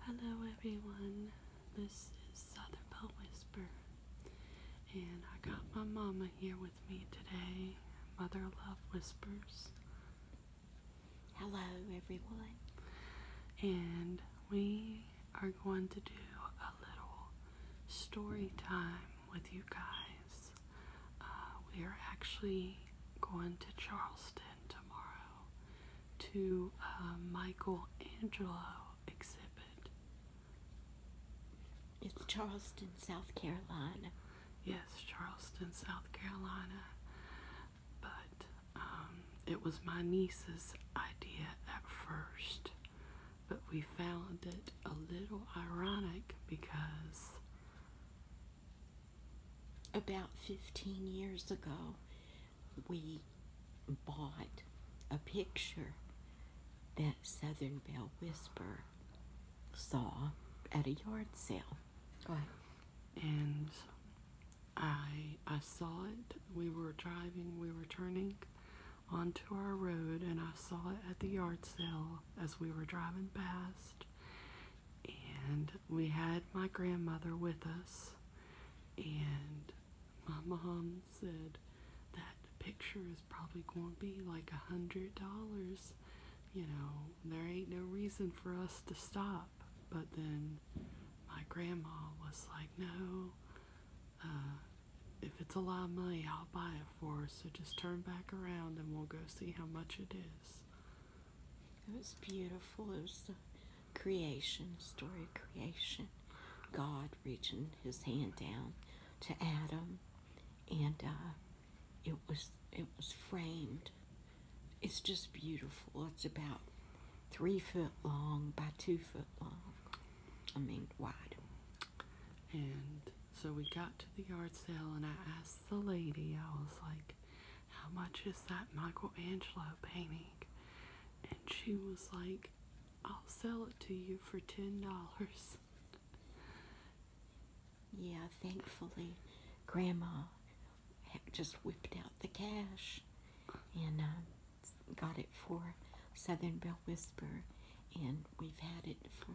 Hello everyone, this is Southern Bell Whisper, and I got my mama here with me today, Mother Love Whispers. Hello everyone, and we are going to do a little story time with you guys. Uh, we are actually going to Charleston tomorrow to a Michelangelo exhibit. It's Charleston, South Carolina. Yes, Charleston, South Carolina. But um, it was my niece's idea at first, but we found it a little ironic because about 15 years ago, we bought a picture that Southern Belle Whisper saw at a yard sale. Right. And I I saw it. We were driving, we were turning onto our road and I saw it at the yard sale as we were driving past. And we had my grandmother with us, and my mom said that picture is probably going to be like a hundred dollars. You know, there ain't no reason for us to stop. But then my grandma was like, no, uh, if it's a lot of money, I'll buy it for her. So just turn back around and we'll go see how much it is. It was beautiful. It was the creation, story of creation. God reaching his hand down to Adam, and uh, it was it was framed. It's just beautiful. It's about three foot long by two foot long. I mean wide. And so we got to the yard sale, and I asked the lady. I was like, how much is that Michelangelo painting? And she was like, I'll sell it to you for $10. Yeah, thankfully, Grandma just whipped out the cash and um, got it for Southern Bell Whisper, and we've had it for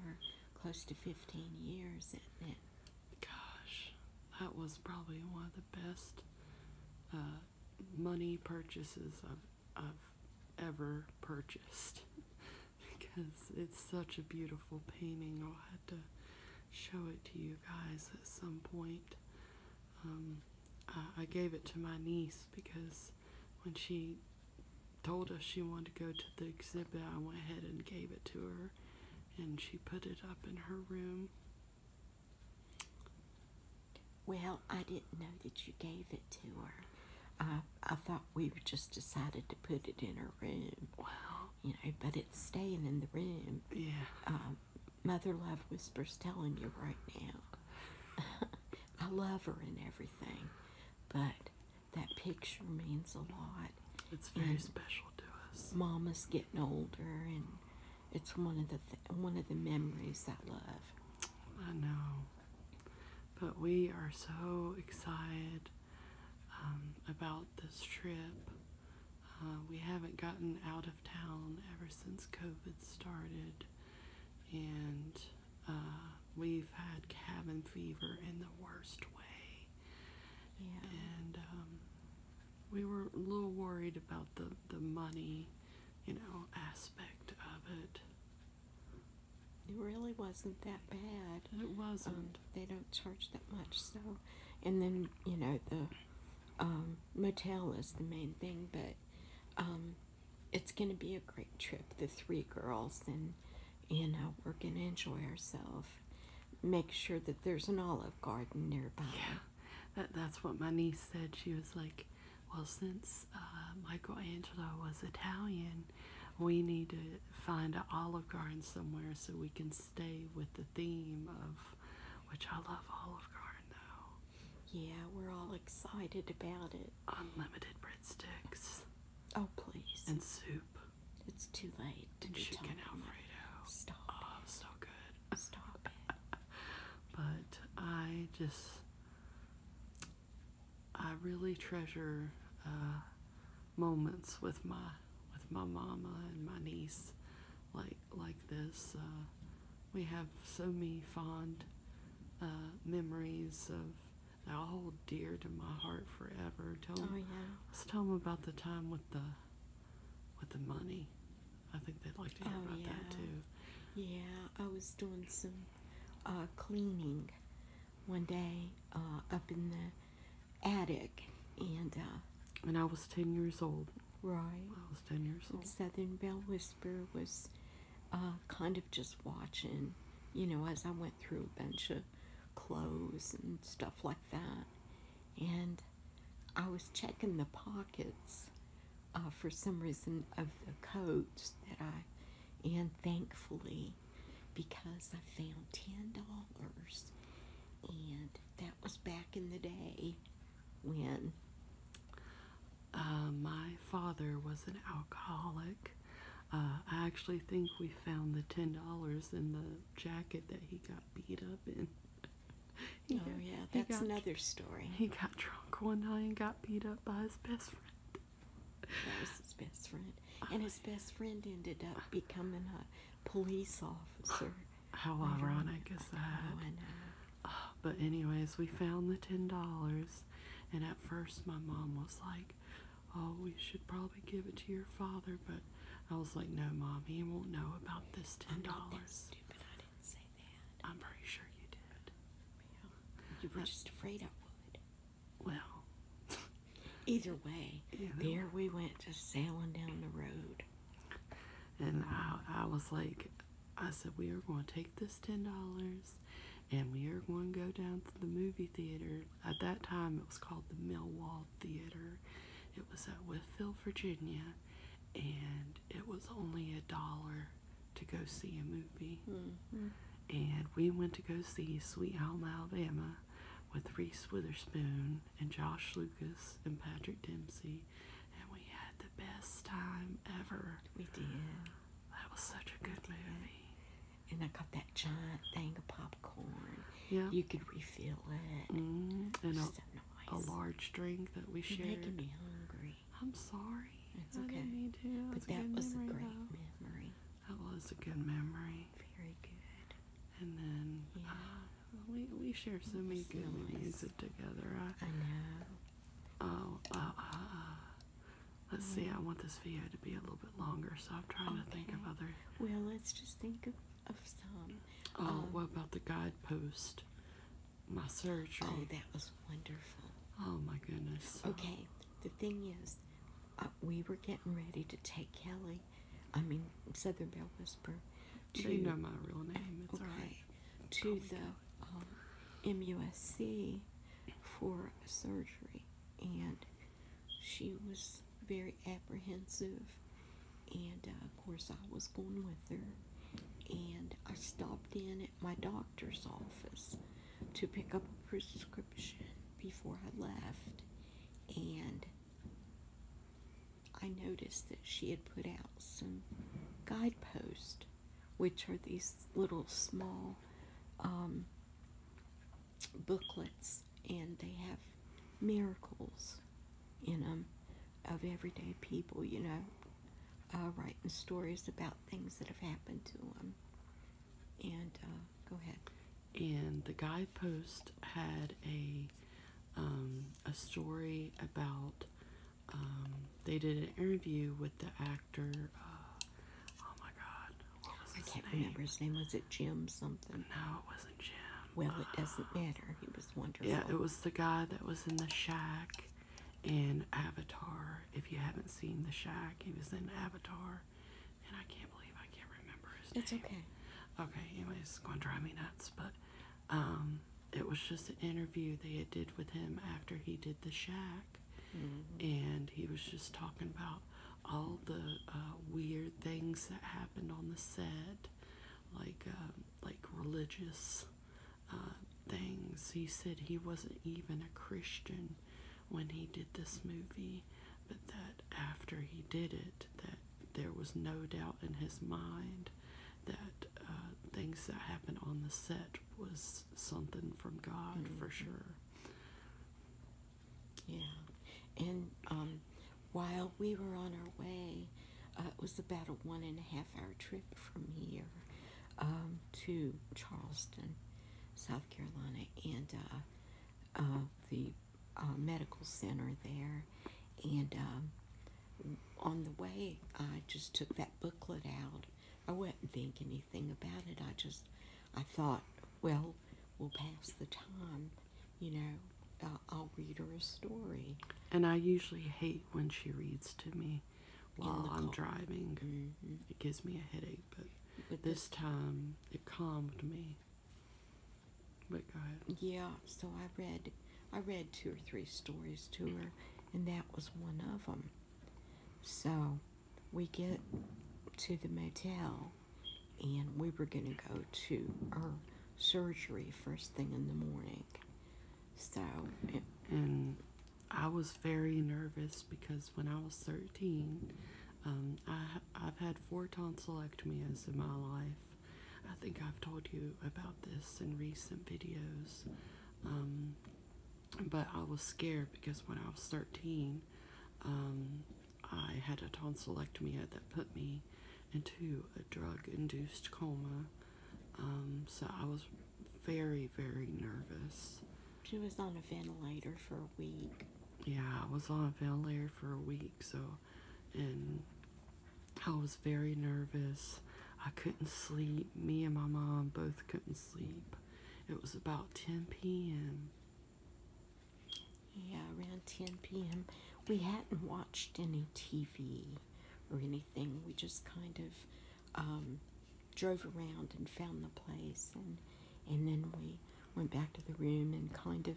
close to 15 years, isn't it? Gosh, that was probably one of the best uh, money purchases I've, ever purchased because it's such a beautiful painting. I'll have to show it to you guys at some point. Um, I gave it to my niece because when she told us she wanted to go to the exhibit, I went ahead and gave it to her and she put it up in her room. Well, I didn't know that you gave it to her. I, I thought we just decided to put it in her room. Well, you know, but it's staying in the room. Yeah. Um, Mother Love Whispers telling you right now. I love her and everything, but that picture means a lot. It's very special. Mama's getting older, and it's one of the one of the memories I love. I know, but we are so excited um, about this trip. Uh, we haven't gotten out of town ever since COVID started, and uh, we've had cabin fever in the worst way. Yeah. And um, we were a little worried about the the money, you know, aspect of it. It really wasn't that bad. It wasn't. Um, they don't charge that much, so. And then you know the um, motel is the main thing, but it's going to be a great trip. The three girls and and are gonna enjoy ourselves. Make sure that there's an olive garden nearby. Yeah, that's what my niece said. She was like, well, since uh, Michelangelo was Italian, we need to find an olive garden somewhere so we can stay with the theme of which I love olive garden though. Yeah, we're all excited about it. Unlimited breadsticks. Oh please. And soup. It's too late. To and chicken talking. Alfredo. Stop. Oh, so good. Stop it. but I just I really treasure uh, moments with my with my mama and my niece like like this. Uh, we have so many fond uh, memories of they're hold dear to my heart forever. oh, yeah. Let's tell them about the time with the with the money. I think they'd like to hear oh, about that too. Yeah, I was doing some uh, cleaning one day uh, up in the attic, and uh, and I was ten years old. Right. I was ten years old. Southern Bell Whisper was uh, kind of just watching, you know, as I went through a bunch of clothes and stuff like that. And I was checking the pockets uh, for some reason of the coats that I, and thankfully, because I found ten dollars, and that was back in the day when uh, my father was an alcoholic, uh, I actually think we found the ten dollars in the jacket that he got beat up in. oh yeah, that's another story. He got drunk one night and got beat up by his best friend. That was his best friend, and his best friend ended up becoming a police officer. How ironic is that? Oh, I know, I but anyways, we found the ten dollars, and at first my mom was like, oh, we should probably give it to your father, but I was like, no, mom, he won't know about this oh, ten dollars. Stupid, I didn't say that. I'm pretty sure you did. You were just afraid I would. Well, either way, there we went just sailing down the road. And I, I was like, I said, we are going to take this ten dollars, and we are going to go down to the movie theater at that time it was called the Millwall Theater. It was at Withfield, Virginia, and it was only a dollar to go see a movie. Mm-hmm. And we went to go see Sweet Home Alabama with Reese Witherspoon and Josh Lucas and Patrick Dempsey, and we had the best time ever. We did. That was such a good movie and I got that giant thing of popcorn. Yeah. You could refill it. Mm, and a, large drink that we shared. I'm sorry. It's okay. Me too. but that was a great memory. That was a good memory. Very good. And then yeah. Uh, we we share so many good memories together. I, know. Oh, uh, uh, uh. Let's see, I want this video to be a little bit longer, so I'm trying to think of other. Well, let's just think of, some. Oh, um, what about the guidepost? My surgery. Oh, that was wonderful. Oh, my goodness. Okay, the thing is, uh, we were getting ready to take Kelly, I mean, Southern Bell Whisper, do You know my real name, okay, To oh the MUSC um, for surgery. And she was very apprehensive, and uh, of course, I was going with her. And I stopped in at my doctor's office to pick up a prescription before I left, and I noticed that she had put out some guideposts, which are these little small um, booklets, and they have miracles in them of everyday people, you know, uh, writing stories about things that have happened to them. And uh, go ahead. And the guidepost had a um, a story about um, they did an interview with the actor. Uh, Oh my god. I can't remember his name. Was it Jim something? No, it wasn't Jim. Well, it uh, doesn't matter. He was wonderful. Yeah, it was the guy that was in the shack in Avatar. If you haven't seen the shack, he was in Avatar. And I can't believe I can't remember his it's name. It's okay. Okay, anyways, it's going to drive me nuts. But um, it was just an interview they did with him after he did the shack and he was just talking about all the uh, weird things that happened on the set, like um, like religious uh, things. He said he wasn't even a Christian when he did this movie, but that after he did it, that there was no doubt in his mind that uh, things that happened on the set was something from God for mm-hmm. sure. Yeah, and um, while we were on our way, uh, it was about a one and a half hour trip from here um, to Charleston, South Carolina, and uh, uh, the medical center there. And um, on the way, I just took that booklet out I wouldn't think anything about it. I just, I thought, well, we'll pass the time, you know, I'll read her a story. And I usually hate when she reads to me while I'm driving. Mm-hmm. It gives me a headache, but, this, this time it calmed me. But go ahead. Yeah, so I read, I read two or three stories to her, and that was one of them. So we get to the motel and we were going to go to our surgery first thing in the morning. So, and I was very nervous because when I was 13, um, I, I've had four tonsillectomies in my life. I think I've told you about this in recent videos. Um, but I was scared because when I was 13, um, I had a tonsillectomy that put me into a drug-induced coma. Um, so I was very, very nervous. She was on a ventilator for a week. Yeah, I was on a ventilator for a week, so, and I was very nervous. I couldn't sleep. Me and my mom both couldn't sleep. It was about 10 p.m. Yeah, around 10 p.m. We hadn't watched any TV or anything. We just kind of um, drove around and found the place, and and then we went back to the room and kind of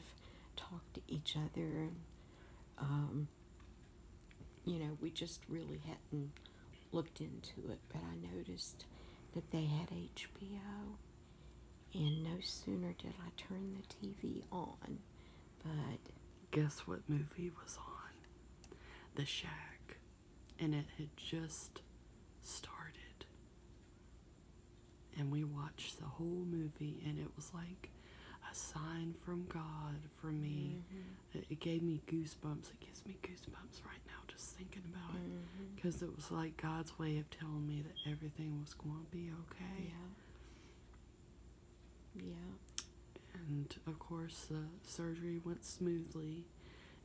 talked to each other. um, you know, we just really hadn't looked into it, but I noticed that they had HBO. And no sooner did I turn the TV on, but guess what movie was on? The Shack. And it had just started. And we watched the whole movie, and it was like a sign from God for me mm-hmm. It gave me goosebumps. It gives me goosebumps right now just thinking about it. Because mm-hmm. it was like God's way of telling me that everything was going to be okay. Yeah. Yeah. And of course, the surgery went smoothly,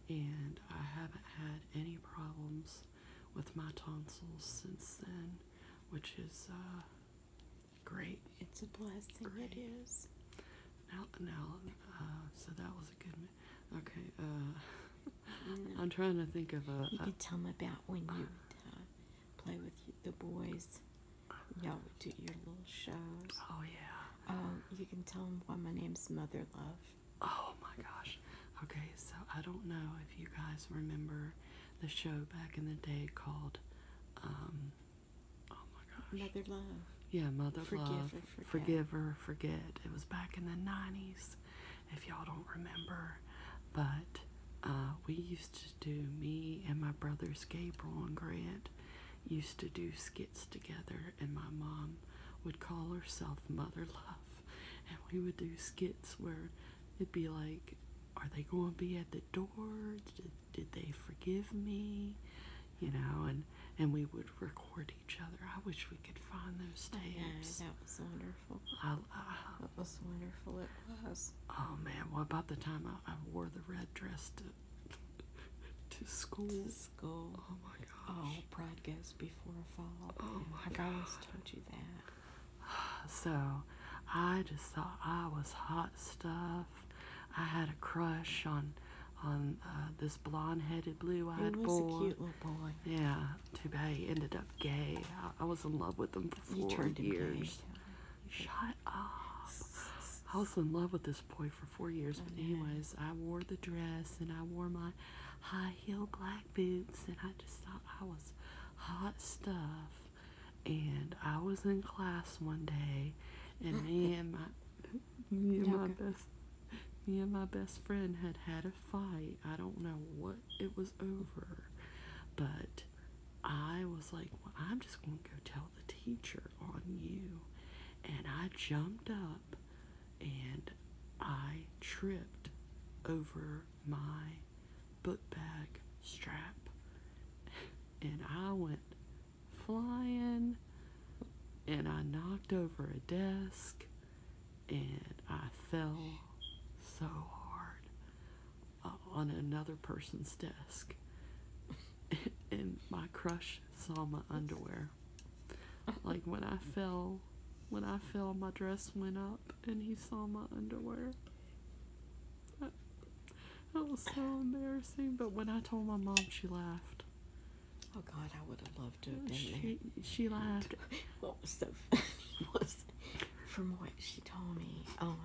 and I haven't had any problems with my tonsils since then, which is uh, great. It's a blessing. It is. Now, uh, so that was a good. one. Okay, uh, mm. I'm trying to think of a. You could tell them about when you uh, play with the boys. Y'all would do your little shows. Oh yeah. Oh, you can tell them why my name's Mother Love. Oh my gosh. Okay, so I don't know if you guys remember the show back in the day called. Um, Oh my gosh. Mother love. Yeah, mother Forgive love. Forgive or forget. It was back in the 90s, if y'all don't remember. But uh, we used to do, me and my brothers Gabriel and Grant used to do skits together, and my mom would call herself Mother Love. And we would do skits where it'd be like, are they going to be at the door? did they forgive me? You know, and and we would record each other. I wish we could find those tapes. I that was wonderful. that was wonderful. It was. Oh man! Well, about the time I, wore the red dress to to school. school. Oh my oh, gosh. Oh, pride goes before a fall. Oh my gosh. told you that. So, I just thought I was hot stuff. I had a crush on on uh, this blonde-headed, blue-eyed boy. He was a cute little boy. Yeah, to be ended up gay. I, was in love with him for four years. Shut up. I was in love with this boy for four years. But anyways, I wore the dress and I wore my high heeled black boots and I just thought I was hot stuff and I was in class one day, and me and my me and my best me and my best friend had had a fight. I don't know what it was over, but I was like, I'm just going to go tell the teacher on you. And I jumped up and I tripped over my book bag strap. And I went flying and I knocked over a desk and I fell so hard on another person's desk. and my crush saw my underwear. Like when I fell, when I fell, my dress went up and he saw my underwear. That was so embarrassing. But when I told my mom, she laughed. Oh God, I would have loved to have been she, laughed. What was the, funny was, from what she told me, um,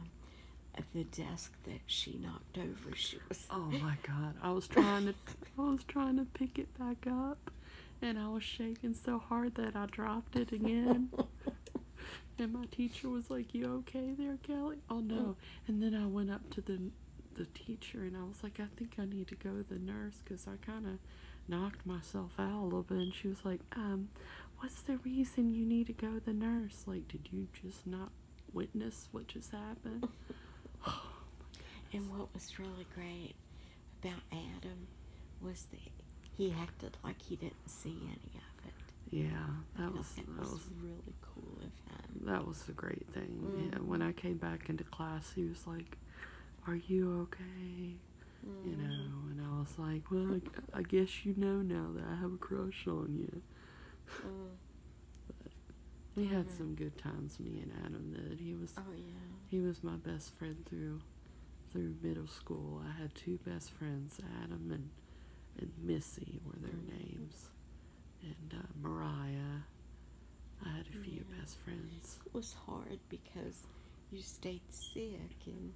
at the desk that she knocked over, she was. Oh my God! I was trying to, I was trying to pick it back up, and I was shaking so hard that I dropped it again. and my teacher was like, "You okay there, Kelly?" Oh no. Oh. And then I went up to the the teacher and I was like, I think I need to go to the nurse because I kind of knocked myself out a little bit. And she was like, um, what's the reason you need to go to the nurse? Like, did you just not witness what just happened? Oh, and what was really great about Adam was that he acted like he didn't see any of yeah, that was that was, really cool of him. That was a great thing. Mm. when I came back into class, he was like, "Are you okay?" You mm. know, and I was like, "Well, I, guess you know now that I have a crush on you." Mm. we had mm-hmm. some good times, me and Adam did. He was, oh yeah, he was my best friend through through middle school. I had two best friends, Adam and and Missy were their names, and uh, Mariah. I had a few mm. best friends. It was hard because you stayed sick and.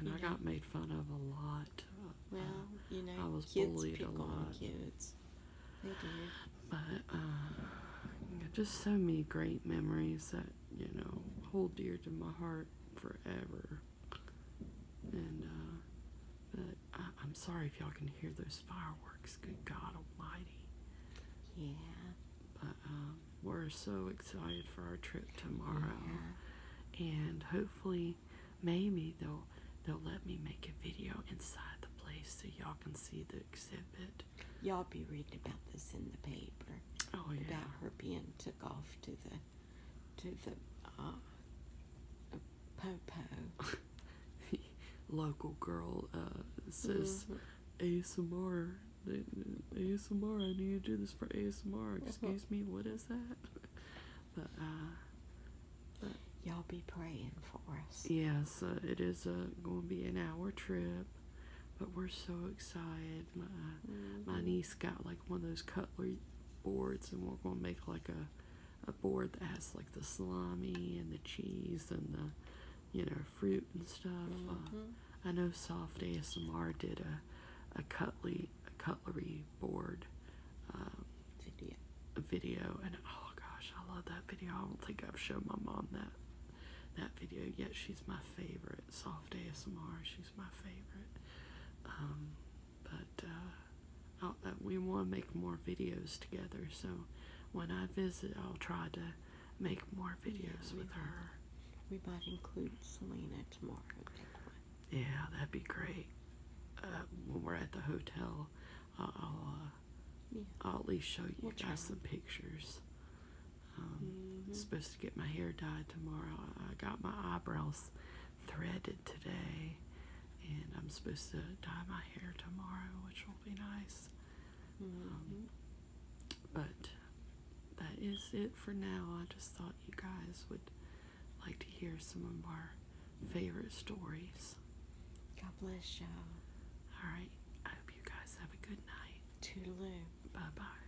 And I got made fun of a lot. Uh, well, you know, I was kids bullied pick a lot. On kids. They did. But uh, just so many great memories that you know hold dear to my heart forever. And uh, I am sorry if y'all can hear those fireworks. Good God Almighty! Yeah. But um, we're so excited for our trip tomorrow, and hopefully, maybe they'll they'll let me make a video inside the place so y'all can see the exhibit. Y'all be reading about this in the paper. Oh yeah. About her being took off to the to the uh, Popo. Local girl uh, says uh-huh. Mm-hmm. ASMR. ASMR, I need to do this for ASMR. Mm-hmm. Excuse me, what is that? Uh, but, y'all be praying for us. Yes, uh, it is uh, going to be an hour trip, but we're so excited. My uh, my mm-hmm. niece got like one of those cutlery boards and we're going to make like a, a board that has like the salami and the cheese and the, you know, fruit and stuff. Uh, mm-hmm. I know Soft ASMR did a, a, cutlery, a cutlery board um, video. video and oh gosh, I love that video. I don't think I've shown my mom that that video yet. She's my favorite. Soft ASMR, she's my favorite. Um, but uh, we want to make more videos together. So when I visit, I'll try to make more videos with her. We might include Selena tomorrow. Yeah, that'd be great. Uh, when we're at the hotel, I'll, I'll uh, at least show you guys some pictures. Um, mm Supposed to get my hair dyed tomorrow. I got my eyebrows threaded today, and I'm supposed to dye my hair tomorrow, which will be nice. Mm-hmm. Um, but that is it for now. I just thought you guys would like to hear some of our favorite stories. God bless y'all. All right. I hope you guys have a good night. Toodaloo. Bye bye.